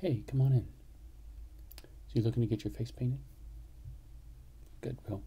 Hey, come on in. So you're looking to get your face painted? Good, well,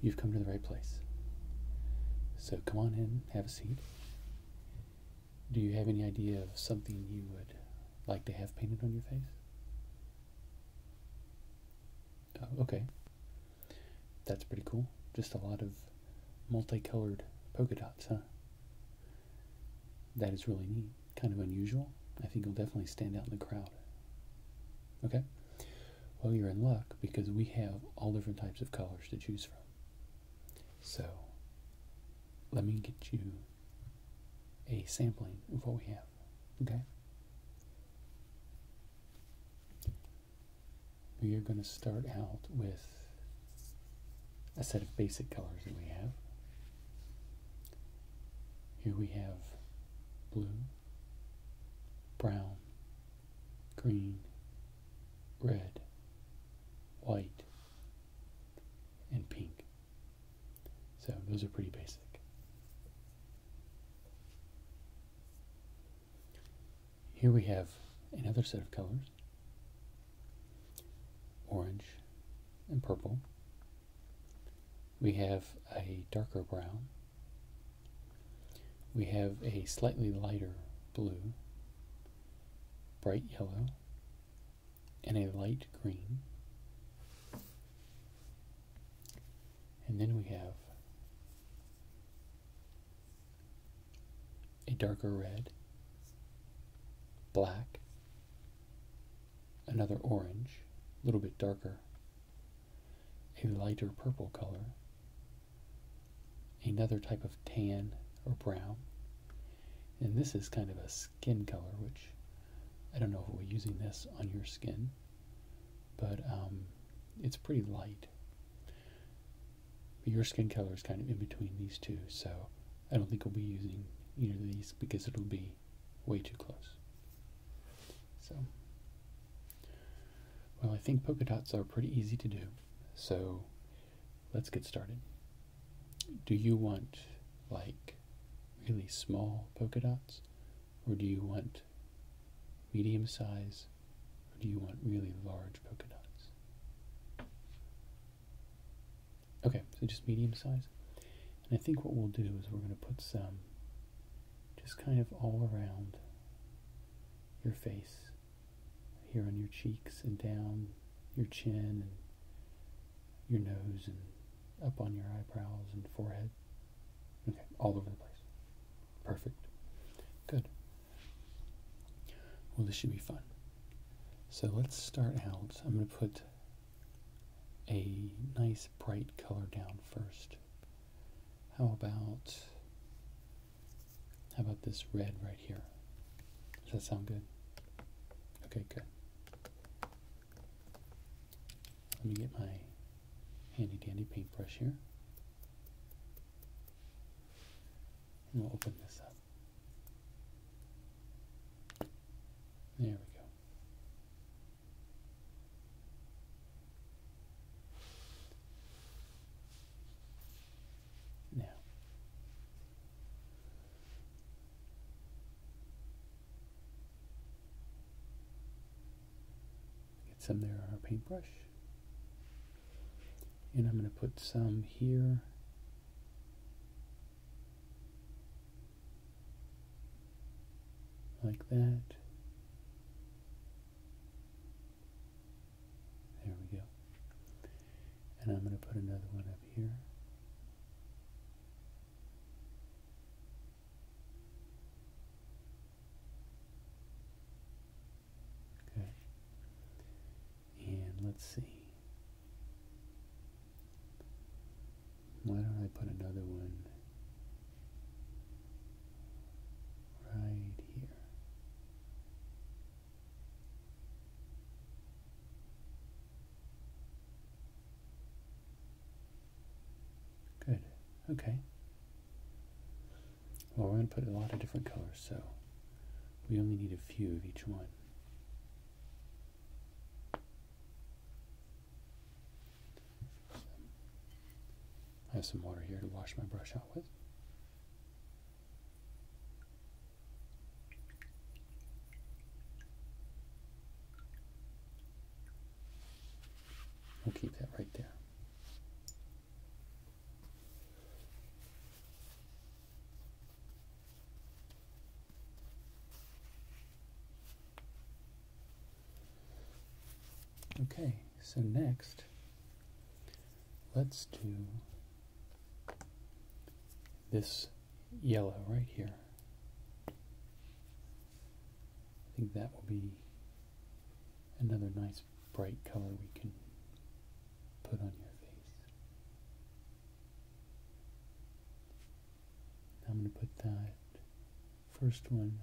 you've come to the right place. So come on in, have a seat. Do you have any idea of something you would like to have painted on your face? Oh, okay. That's pretty cool. Just a lot of multicolored polka dots, huh? that is really neat, kind of unusual. I think you'll definitely stand out in the crowd. Okay? Well, you're in luck because we have all different types of colors to choose from. So, let me get you a sampling of what we have. Okay? We are going to start out with a set of basic colors that we have. Here we have blue, brown, green, red, white, and pink. So those are pretty basic. Here we have another set of colors orange, and purple. We have a darker brown. We have a slightly lighter blue, bright yellow, and a light green. And then we have a darker red, black, another orange, a little bit darker, a lighter purple color, another type of tan or brown, and this is kind of a skin color, which I don't know if we're using this on your skin, but um, it's pretty light. But your skin color is kind of in between these two, so I don't think we'll be using either of these because it'll be way too close. So, well, I think polka dots are pretty easy to do, so let's get started. Do you want like really small polka dots, or do you want medium size, or do you want really large polka dots? Okay, so just medium size. And I think what we'll do is we're going to put some just kind of all around your face, here on your cheeks and down your chin and your nose and up on your eyebrows and forehead. Okay, all over the place. Perfect. Good. Well, this should be fun. So let's start out. I'm going to put a nice bright color down first. How about how about this red right here? Does that sound good? Okay, good. Let me get my handy dandy paintbrush here. And we'll open this up. There we go. Now, get some there on our paintbrush and I'm going to put some here. Like that. There we go. And I'm going to put another one up here. Okay. And let's see. Why don't I put another one right here? Good. Okay. Well, we're going to put a lot of different colors, so we only need a few of each one. I have some water here to wash my brush out with. We'll keep that right there. Okay, so next, let's do this yellow right here. I think that will be another nice bright color we can put on your face. I'm going to put that first one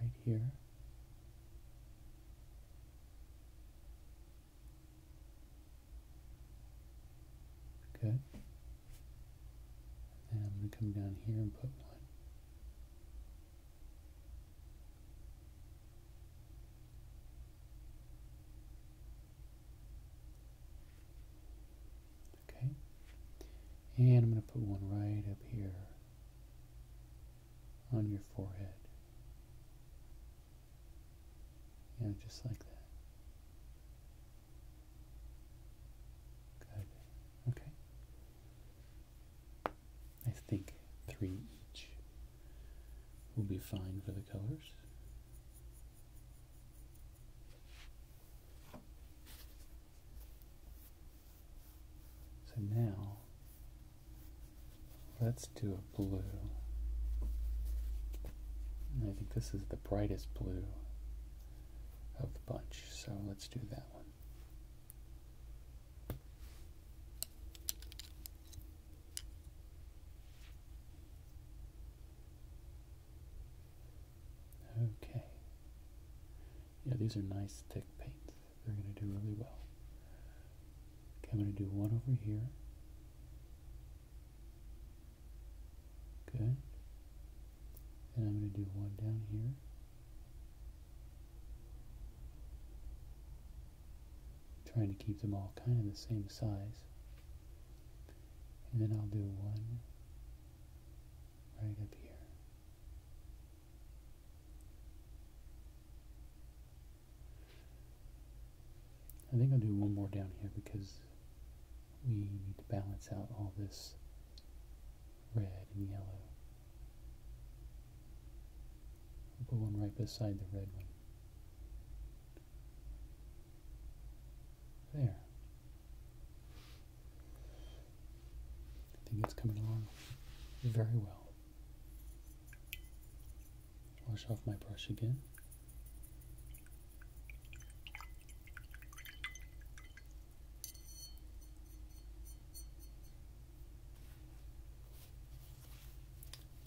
right here. Okay. And I'm going to come down here and put one Okay. And I'm going to put one right up here on your forehead. Yeah, just like that. Okay. I think three each will be fine for the colors. So now let's do a blue. I think this is the brightest blue of the bunch, so let's do that one. Okay. Yeah, these are nice thick paints. They're going to do really well. Okay, I'm going to do one over here. Good. And I'm going to do one down here. Trying to keep them all kind of the same size. And then I'll do one right up here. I think I'll do one more down here because we need to balance out all this red and yellow. I'll put one right beside the red one. There. I think it's coming along very well. Wash off my brush again.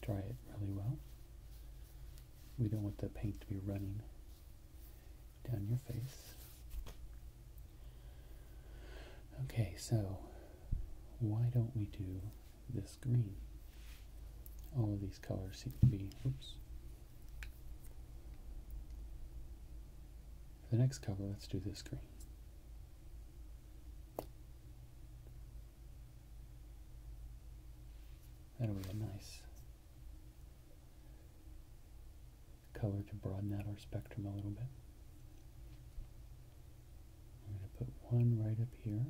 Dry it really well. We don't want the paint to be running down your face. Okay, so why don't we do this green? All of these colors seem to be, for the next cover, let's do this green. That'll be a nice color to broaden out our spectrum a little bit. I'm going to put one right up here.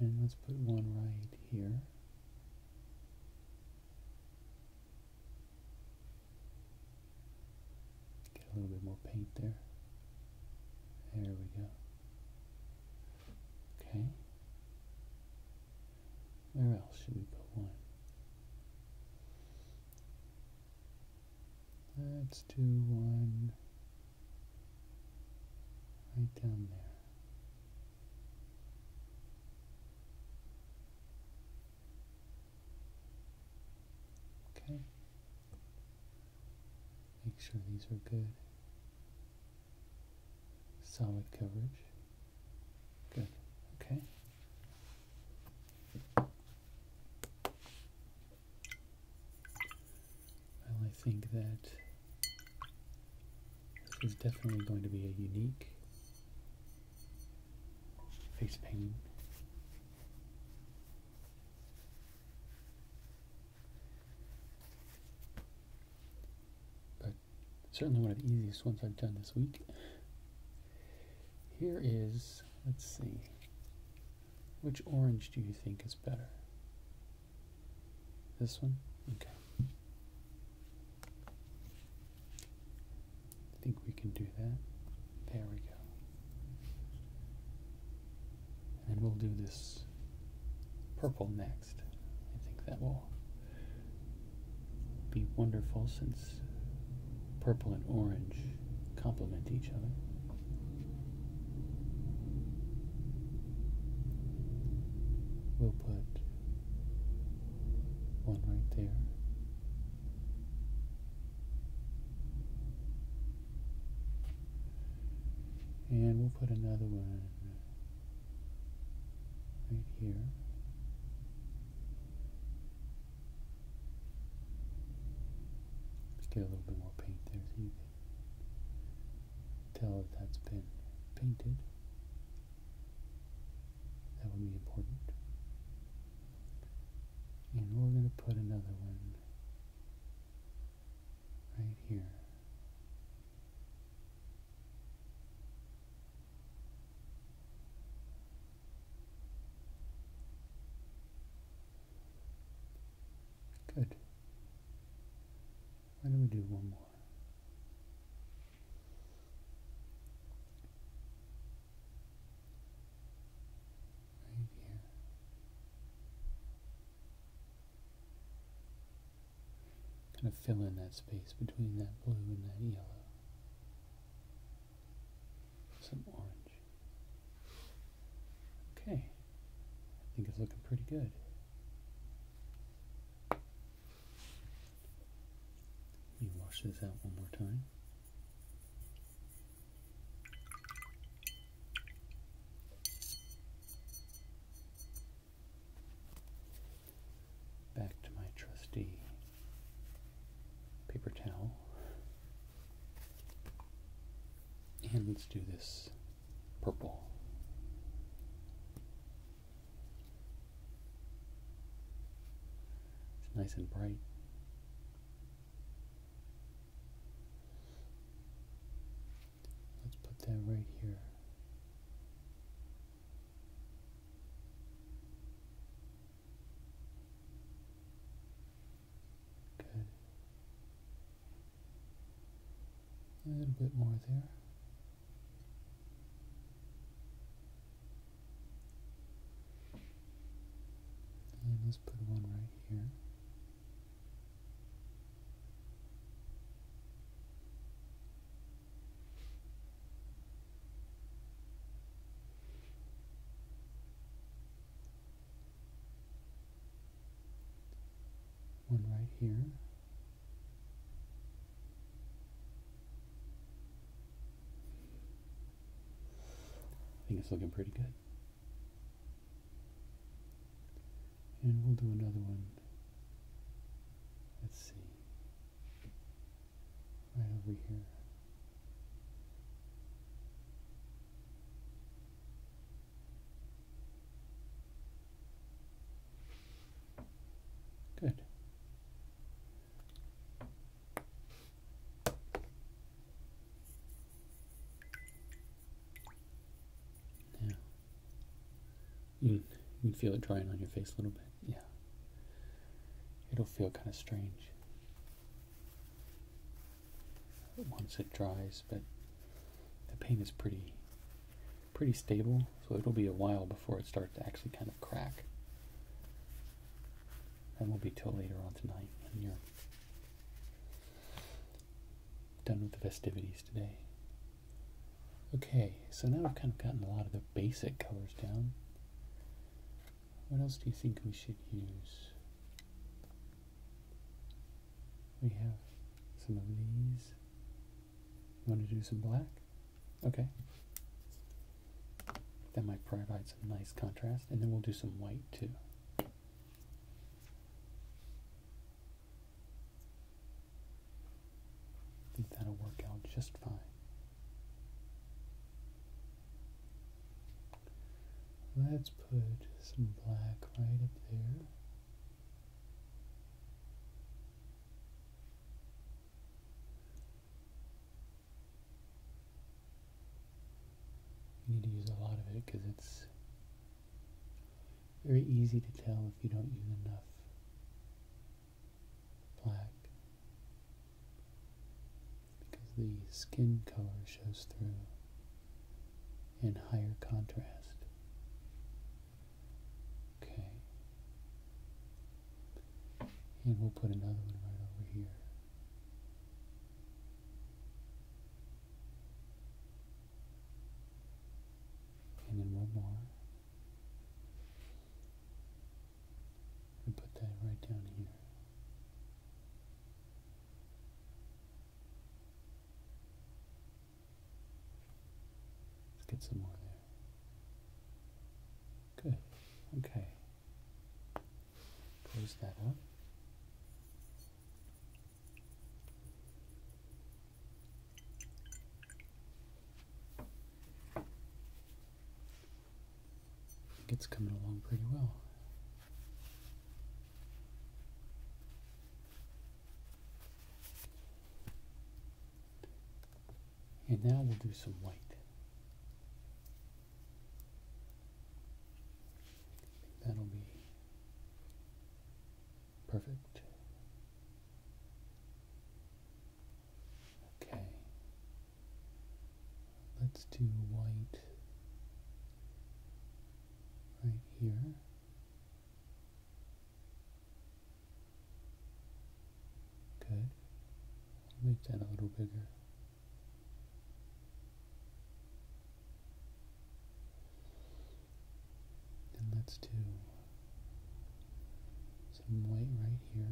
And let's put one right here. Get a little bit more paint there. There we go. Okay. Where else should we put one? Let's do one right down there. Okay. Make sure these are good. Solid coverage. Good. Okay. Well, I think that this is definitely going to be a unique face paint, But certainly one of the easiest ones I've done this week. Here is, let's see, which orange do you think is better? This one? Okay. I think we can do that. There we go. And we'll do this purple next. I think that will be wonderful since purple and orange complement each other. We'll put one right there. And we'll put another one right here. get a little bit more paint there so tell if that's been painted. That would be important. And we're going to put another one right here. Good. Why don't we do one more? Right here. Kind of fill in that space between that blue and that yellow. Some orange. Okay. I think it's looking pretty good. Let me wash this out one more time. Back to my trusty paper towel. And let's do this purple. It's nice and bright. Let's put that right here. Good. A little bit more there. let's put one right here one right here. I think it's looking pretty good. And we'll do another one. Let's see. Right over here. Good. Now, you you can feel it drying on your face a little bit. Yeah. It'll feel kind of strange once it dries, but the paint is pretty pretty stable, so it'll be a while before it starts to actually kind of crack. And we will be till later on tonight when you're done with the festivities today. Okay, so now we have kind of gotten a lot of the basic colors down. What else do you think we should use? We have some of these. You want to do some black? Okay. That might provide some nice contrast. And then we'll do some white too. think that'll work out just fine. Let's put some black right up there. You need to use a lot of it because it's very easy to tell if you don't use enough black because the skin color shows through. In higher contrast. Okay. And we'll put another one right over here. And then one more. And put that right down here. Let's get some more there. Good. Okay. Close that up. It's coming along pretty well. And now we'll do some white. That'll be perfect. Okay let's do white right here. Good. make that a little bigger. And let's do some white right here.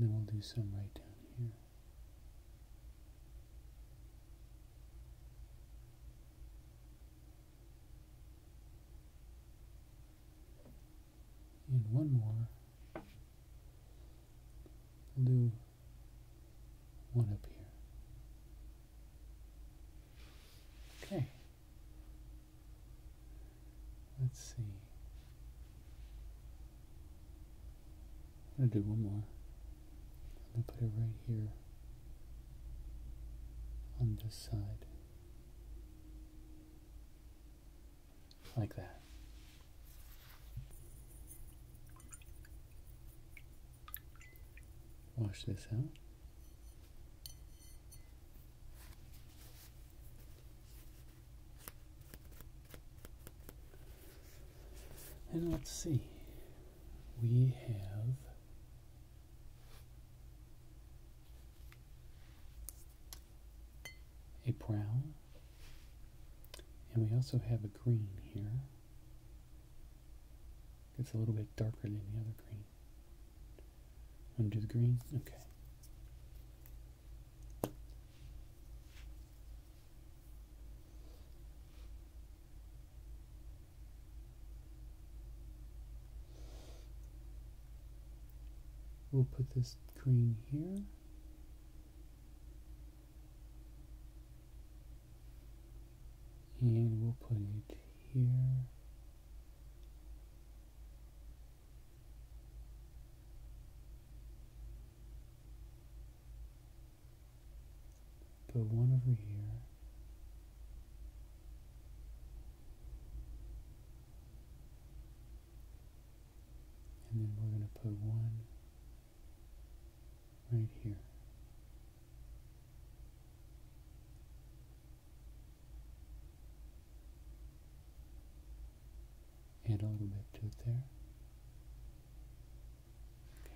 And then we'll do some right down here. And one more. We'll do one up here. Okay. Let's see. I'm going to do one more. I'm going to put it right here on this side. Like that. Wash this out. And let's see, we have a brown, and we also have a green here. It's a little bit darker than the other green. Want to do the green? Okay. We'll put this green here and we'll put it here. Put one over here. And then we're going to put one right here. Add a little bit to it there.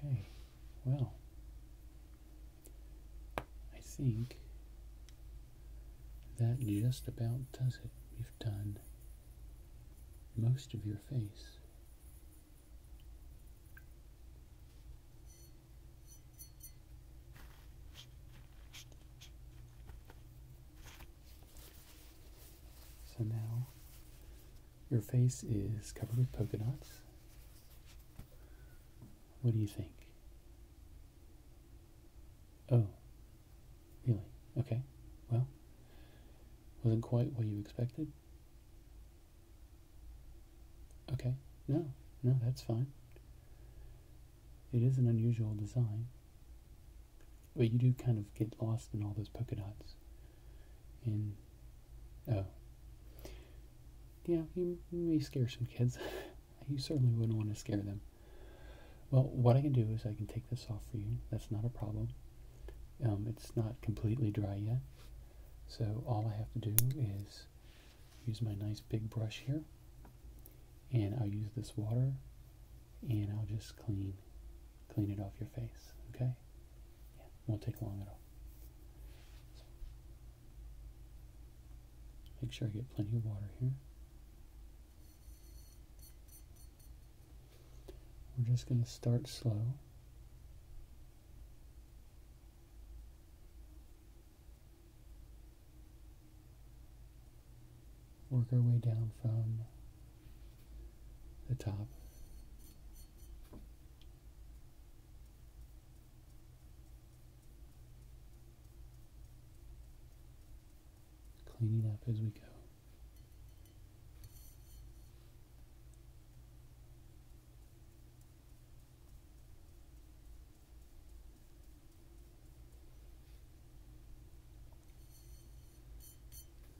Okay, well, I think that just about does it. We've done most of your face. So now your face is covered with polka dots. What do you think? Oh, really? Okay. Well, wasn't quite what you expected. Okay, no, no, that's fine. It is an unusual design, but you do kind of get lost in all those polka dots. And, oh. Yeah, you, may scare some kids. you certainly wouldn't want to scare them. Well, what I can do is I can take this off for you. That's not a problem. Um, it's not completely dry yet. So all I have to do is use my nice big brush here and I'll use this water and I'll just clean clean it off your face okay yeah won't take long at all make sure I get plenty of water here we're just going to start slow Work our way down from the top. Cleaning up as we go.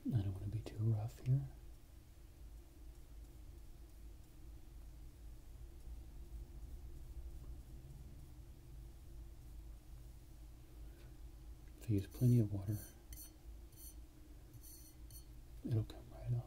I don't want to be too rough here. use plenty of water it'll come right off.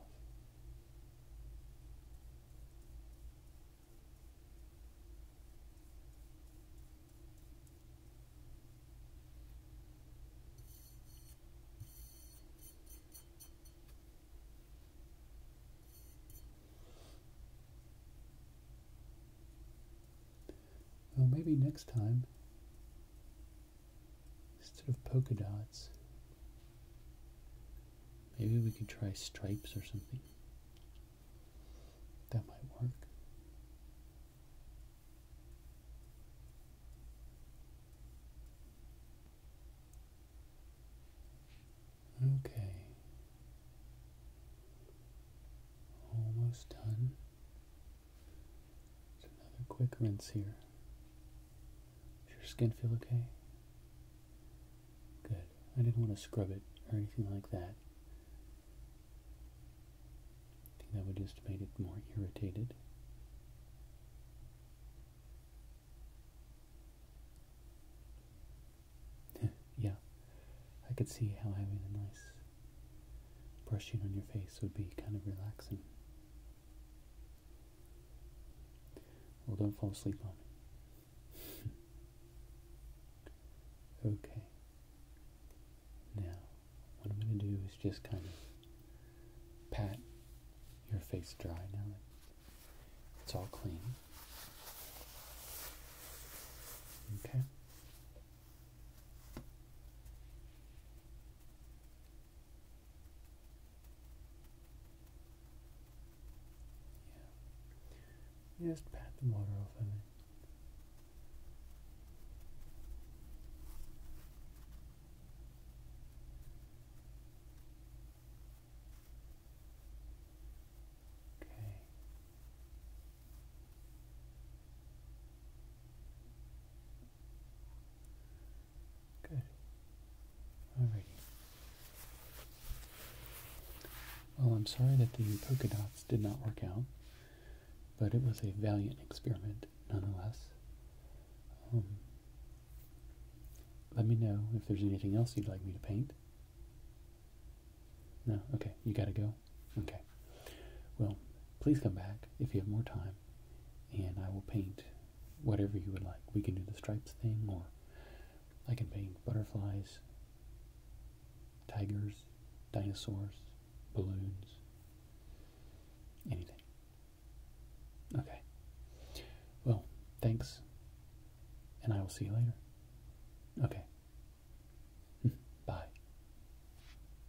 Well, maybe next time instead of polka dots. Maybe we could try stripes or something. That might work. Okay. Almost done. Just another quick rinse here. Does your skin feel okay? Good. I didn't want to scrub it or anything like that. that would just make it more irritated. yeah, I could see how having a nice brushing on your face would be kind of relaxing. Well, don't fall asleep on me. okay. Now, what I'm going to do is just kind of pat your face dry now it's all clean. Okay. Just pat the water off of it. Okay. Good. Alrighty. Well, I'm sorry that the polka dots did not work out, but it was a valiant experiment nonetheless. Um, let me know if there's anything else you'd like me to paint. No? Okay, you gotta go? Okay. Well, please come back if you have more time, and I will paint whatever you would like. We can do the stripes thing, or I can paint butterflies, tigers, dinosaurs, balloons, anything. Okay. Well, thanks, and I will see you later. Okay. Bye.